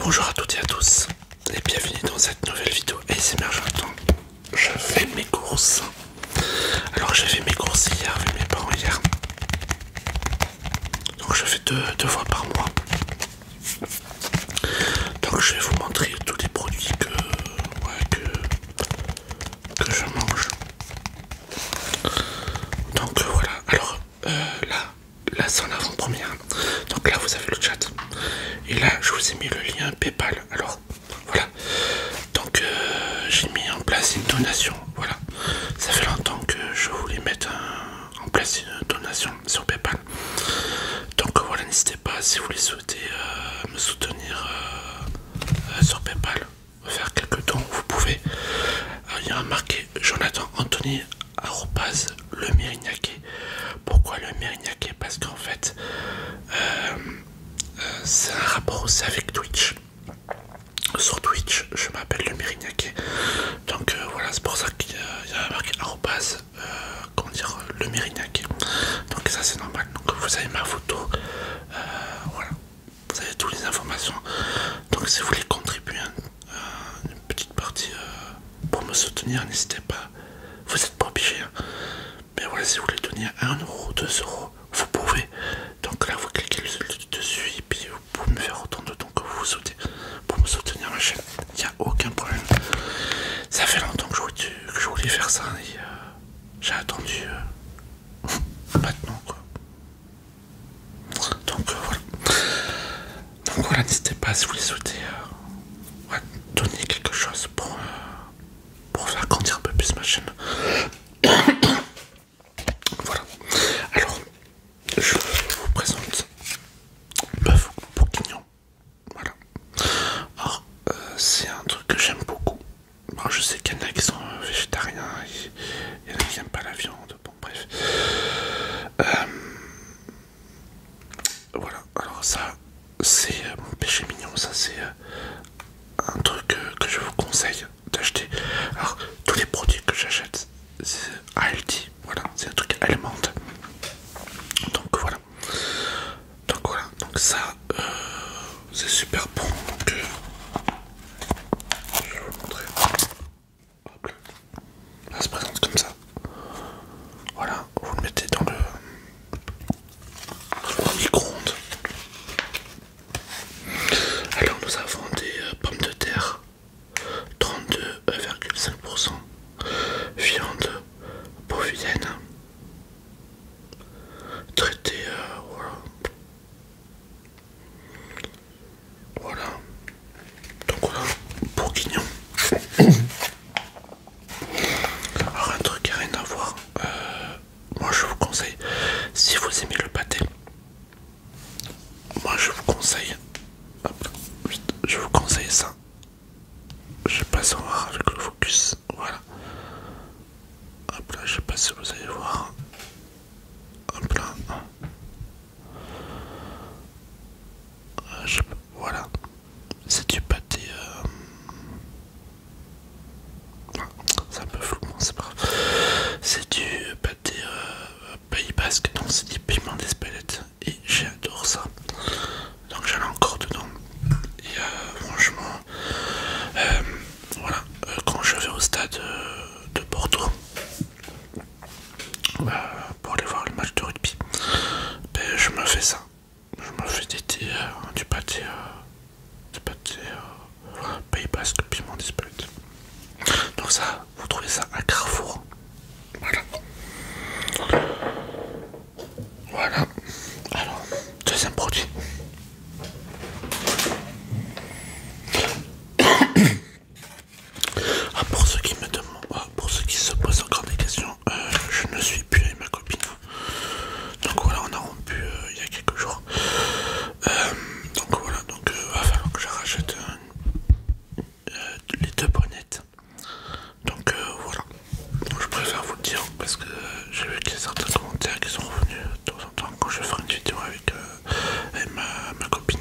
Bonjour à toutes et à tous et bienvenue dans cette nouvelle vidéo ASMR que Je fais mes courses. Alors j'ai fait mes courses hier avec mes parents hier. Donc je fais deux, fois par mois. Donc je vais vous montrer tous les produits que, que je mange. Donc euh, voilà, alors euh, là, là c'est en avant-première. Donc là vous avez le chat. Et là je vous ai mis le lien Paypal. Alors voilà. Donc euh, j'ai mis en place une donation. Voilà. Ça fait longtemps que je voulais mettre en place une donation sur Paypal. Donc voilà, n'hésitez pas si vous voulez souhaitez me soutenir sur Paypal faire quelques dons, vous pouvez. Euh, il y a marqué Jonathan Anthony arrobase le Mérignacé Pourquoi le Mérignacé Parce qu'en fait, euh, euh, c'est un rapport aussi avec Twitch. Sur Twitch, je m'appelle le Mérignacé Donc voilà, c'est pour ça qu'il y, a a marqué arrobase, comment dire, le Mérignacé Donc ça c'est normal. Donc vous avez ma photo. voilà, vous avez toutes les informations. Donc si vous voulez contribuer euh, une petite partie euh, pour me soutenir, n'hésitez pas. Vous n'êtes pas obligé. Hein. Mais voilà, si vous voulez donner 1€, euro, vous pouvez. Donc là, vous cliquez dessus et puis vous pouvez me faire autant de temps que vous souhaitez pour me soutenir ma chaîne. Il n'y a aucun problème. Ça fait longtemps que je voulais, faire ça et euh, j'ai attendu maintenant quoi. Euh, Donc voilà. n'hésitez pas si vous les souhaitez euh, donner quelque chose pour, euh, pour faire grandir un peu plus ma chaîne. voilà. Alors, je vous présente Bœuf Poquignon. Voilà. Or, c'est un truc que j'aime beaucoup. Bon, je sais qu'il y en a qui sont végétariens, il y en a qui n'aiment pas la viande, bon, bref. Euh, voilà, alors ça, c'est euh, mon péché mignon, ça c'est euh, un truc que je vous conseille d'acheter. Alors, tous les produits que j'achète, c'est ALD, voilà, c'est un truc allemand. Donc voilà. Donc voilà, donc ça euh, c'est super bon. Donc, euh, je vais vous montrer. Hop là. ça se présente comme ça. Voilà, vous le mettez dans le, micro-ondes. Alors nous avons des euh, pommes de terre 32,5%, viande bovienne traité euh, voilà voilà donc voilà bourguignon alors un truc qui n'a rien à voir euh, moi je vous conseille si vous aimez le pâté moi je vous conseille je vous conseille ça je passe en voir avec le focus voilà Hop là, je sais pas si vous allez voir. Hop là. Voilà. C'est du pâté. Euh, c'est un peu flou, c'est pas grave. C'est du pâté euh, Pays Basque, donc c'est du piment d'Espelette. Et j'adore ça. Donc j'en ai encore dedans. Et euh, franchement... Euh, voilà, euh, quand je vais au stade euh, de Bordeaux bah, pour aller voir le match de rugby, ben, je me fais ça. Je me fais des hein, du pâté, euh, du pâté mon Basque, piment dispute. Donc ça, vous trouvez ça à Carrefour. Voilà. Voilà. Alors, deuxième produit. Ah, pour ceux qui me demandent, ah, pour ceux qui se posent encore des questions, euh, je ne suis plus avec ma copine. Donc voilà, on a rompu euh, il y a quelques jours. Euh, donc voilà, donc va falloir que je rachète les deux bonnettes. Donc voilà. Je préfère vous le dire parce que j'ai vu qu'il y a certains commentaires qui sont revenus de temps en temps quand je ferai une vidéo avec, euh, ma, copine.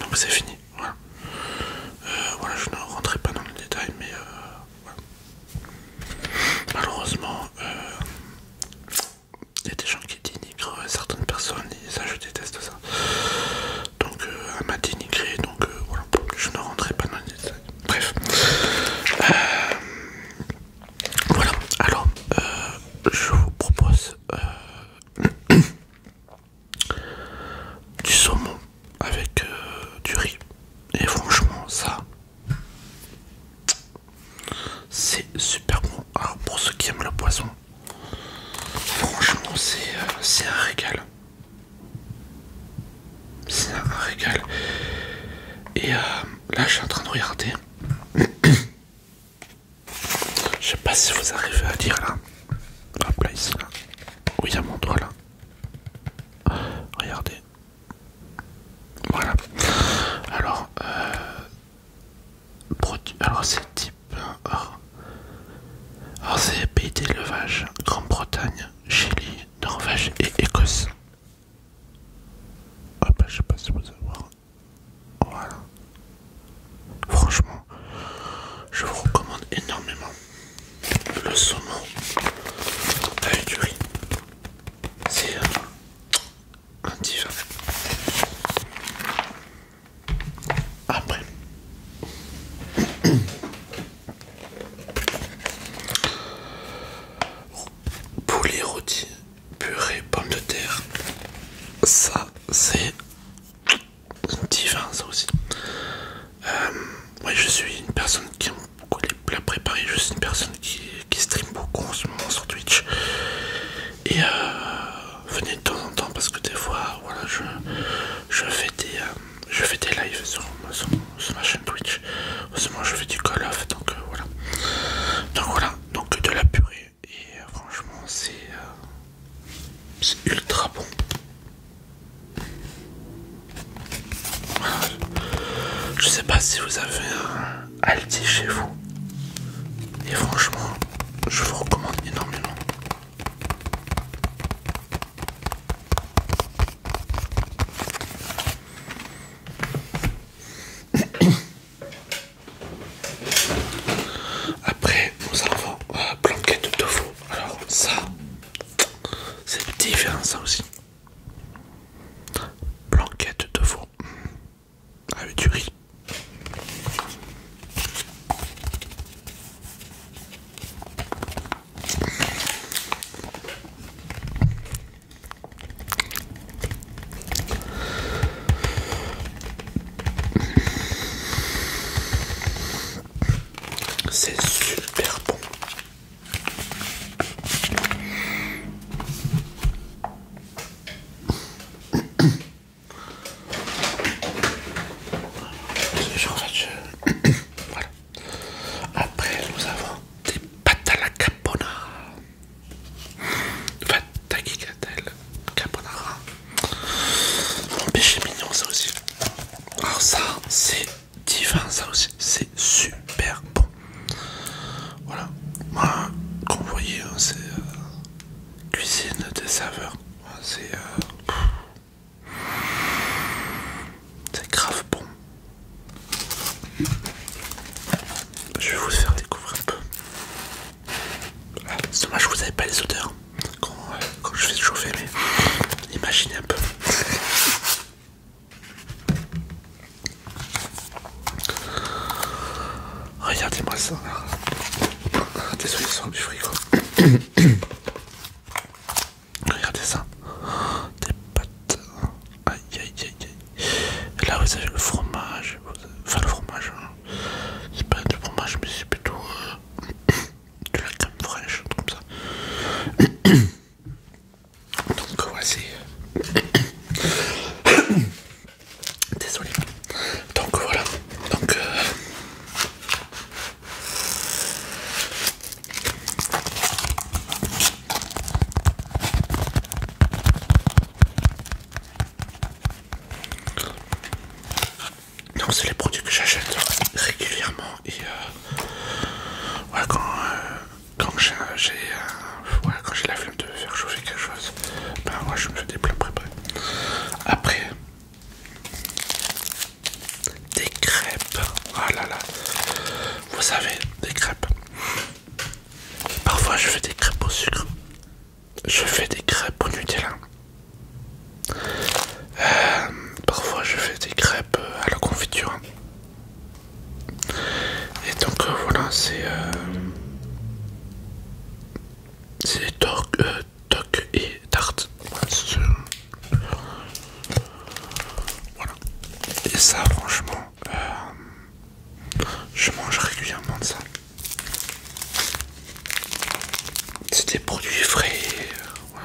Donc c'est fini. Euh, voilà. je ne rentrerai pas dans le détail, mais euh, malheureusement, il y a des gens qui dénigrent certaines personnes et ça, je déteste ça. Donc, elle m'a dénigré, donc voilà, je ne rentrerai pas dans le détail. Bref. Euh, voilà. Alors, euh, je vous propose euh, du saumon avec du riz. Et franchement, ça, c'est super bon. Alors, pour ceux qui aiment le poisson, franchement, c'est un régal. C'est un régal. Et euh, là, je suis en train de regarder. je sais pas si vous arrivez à dire là. Hop ah, là, ici là. Oui, a mon doigt là. Regardez. Voilà. Alors, euh, Alors, c'est type. Euh, or, c'est pays d'élevage Grande-Bretagne, Chili, Norvège et Écosse. Ah bah je sais pas si vous allez voir. Voilà. Franchement, je vous recommande énormément le saumon avec du riz. C'est euh, un un divin. Après, Poulet rôti, purée, pommes de terre. Ça, c'est divin, ça aussi. Euh, je suis une personne qui aime beaucoup les plats préparés. Je suis une personne qui, qui stream beaucoup en ce moment sur Twitch. Et euh, venez de temps en temps parce que des fois, voilà, je je fais des, euh, je lives sur, ma chaîne Twitch. Heureusement, je fais du Call off donc euh, voilà. Donc voilà, donc de la purée et euh, franchement, c'est ultra bon. Je sais pas si vous avez un Aldi chez vous. Et franchement, je vous recommande énormément. Après, nous avons planquette euh, blanquette de tofu. Alors, ça, c'est différent, ça aussi. Planquette de tofu mm. avec du riz. C'est super bon. Je je... voilà. Après, nous avons des pâtes à la caponara. à tagliatelle, caponara. Mon péché mignon, ça aussi. Alors, ça, c'est divin, ça aussi. C'est super bon. Voilà. Moi, comme vous voyez, hein, c'est euh, cuisine des saveurs. C'est. Euh, c'est grave bon. Je vais vous faire découvrir un peu. Ah, c'est dommage que vous n'avez pas les odeurs euh, quand, je fais chauffer, mais imaginez un peu. Regardez-moi ça. Désolé, ça sent du frigo. Regardez ça. Des pâtes. Aïe aïe aïe aïe. là vous avez le fromage. Enfin le fromage. Hein. C'est pas du fromage mais c'est plutôt euh, de la crème fraîche, comme ça. Donc voici. Désolé. Donc voilà. Donc euh, non, c'est les produits que j'achète régulièrement et euh, euh, euh, quand, j'ai la flemme de faire chauffer quelque chose, ben moi je me fais des plats préparés. Après des crêpes. Ah là là. Vous savez, des crêpes. Parfois je fais des crêpes au sucre. Je fais des crêpes au Nutella. Euh, parfois je fais des crêpes à la confiture. Et donc euh, voilà, c'est... Euh, c'est Toc et Tarte. Voilà. Et ça, franchement, euh, je mange régulièrement de ça. C'est des produits frais. Euh,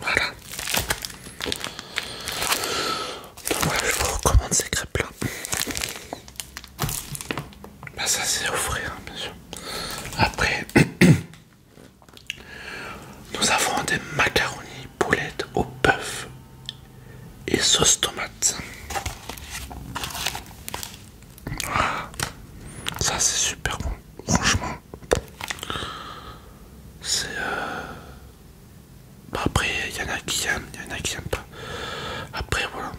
Voilà. Donc voilà, je vous recommande ces crêpes-là. Bah ça c'est au frais hein, bien sûr. Après, nous avons des macaronis poulettes au bœuf et sauce tomate. Ah, ça c'est super bon, franchement. C'est... Euh... Bah après, il y en a qui aiment, il y en a qui aiment pas. Après, voilà.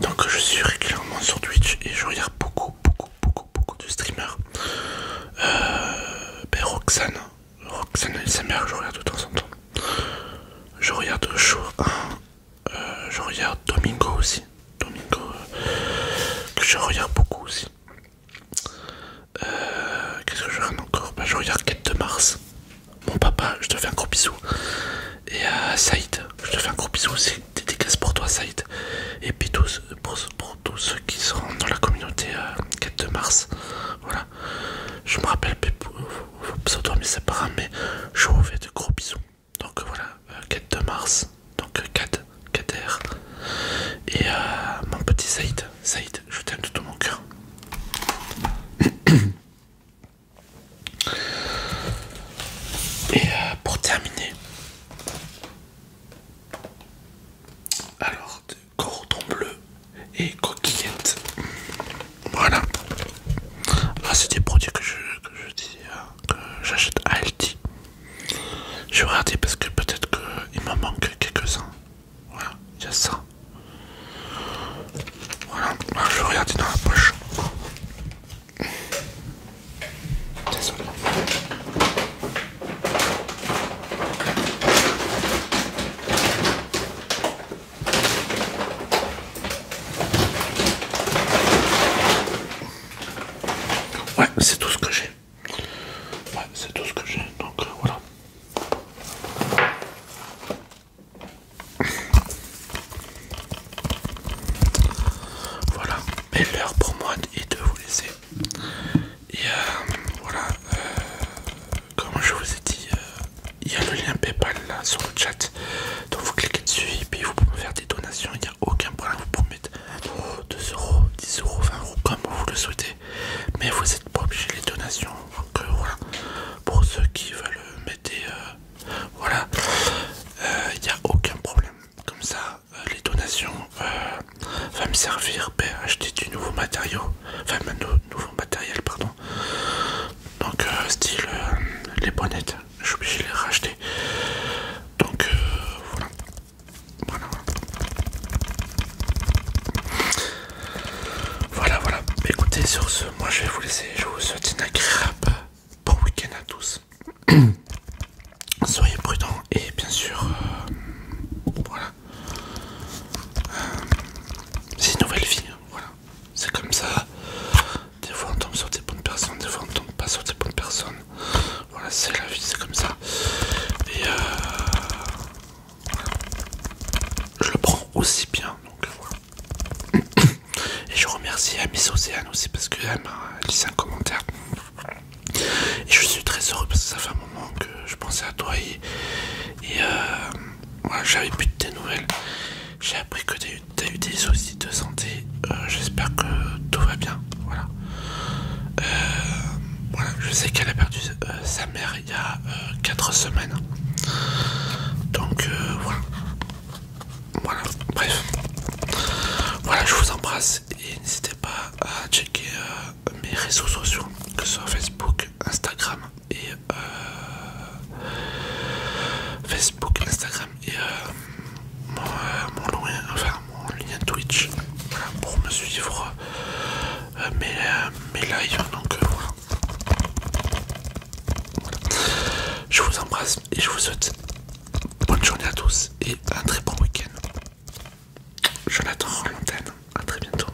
Donc je suis régulièrement sur Twitch et je regarde beaucoup, beaucoup, beaucoup, beaucoup de streamers. Euh, ben Roxane, Roxane et sa mère, je regarde de temps en temps. Je regarde chaud euh, je regarde Domingo aussi. Domingo, euh, que je regarde beaucoup aussi. Euh, qu'est-ce que je regarde encore bah, Je regarde Quête de Mars. Mon papa, je te fais un gros bisou. Et Saïd, je te fais un gros bisou. aussi dédicace pour toi, Saïd. Et puis tous, pour, tous ceux qui sont dans la communauté Quête de Mars. Voilà. Je me rappelle pas je vous fais de gros bisous donc voilà, 4 euh, de Mars, donc 4 R. et euh, mon petit Saïd, Saïd, je t'aime de tout mon cœur. Et euh, pour terminer, alors cordon bleu et coquillette. Voilà. Ah, c'est des produits que je, que je hein, que j'achète à Aldi. Je vais regarder parce que peut-être qu'il m'en manque quelques-uns. Voilà, il y a ça. Voilà, ah, je vais regarder dans la poche. Désolé. Ouais, c'est tout ce que j'ai. Ouais, c'est tout ce que j'ai. Donc euh, voilà. Voilà. Mais l'heure pour moi est de vous laisser. Et euh, voilà. Euh, comme je vous ai dit, il y a le lien Paypal là sur le chat. Donc vous cliquez dessus et puis vous pouvez faire des donations. Il n'y a aucun problème. Vous pouvez mettre 2 euros, 10 euros, 20 euros comme vous le souhaitez. Mais vous n'êtes pas obligé les donations. Donc euh, voilà. Pour ceux qui veulent mettre euh, voilà. Euh, il n'y a aucun problème. Comme ça, les donations vont va me servir pour acheter du nouveau matériau. Enfin, nouveau matériel, pardon donc euh, style euh, les bonnettes je obligé de les racheter donc euh, voilà. voilà voilà écoutez sur ce moi je vais vous laisser je vous souhaite une agréable bon week-end à tous soyez prudents et bien sûr voilà c'est une nouvelle vie hein, voilà c'est comme ça. Des fois on tombe sur des bonnes personnes, des fois on tombe pas sur des bonnes personnes. Voilà, c'est la vie, c'est comme ça. Et euh, je le prends aussi bien, donc euh, voilà. Et je remercie Amis Miss aussi parce qu'elle m'a laissé un commentaire. Et je suis très heureux parce que ça fait un moment que je pensais à toi et, et euh, j'avais plus de tes nouvelles. J'ai appris que t'as eu des soucis de santé. Euh, j'espère que tout va bien. Voilà. Euh, voilà. Je sais qu'elle a perdu euh, sa mère il y a 4 semaines. Donc voilà. Voilà. Bref. Voilà, je vous embrasse et n'hésitez pas à checker mes réseaux sociaux, que ce soit Facebook, Instagram, et euh, Facebook, Instagram et euh, euh, mon, lien Twitch pour me suivre mes, lives. Donc voilà. Je vous embrasse et je vous souhaite bonne journée à tous et un très bon week-end. Je en antenne à très bientôt.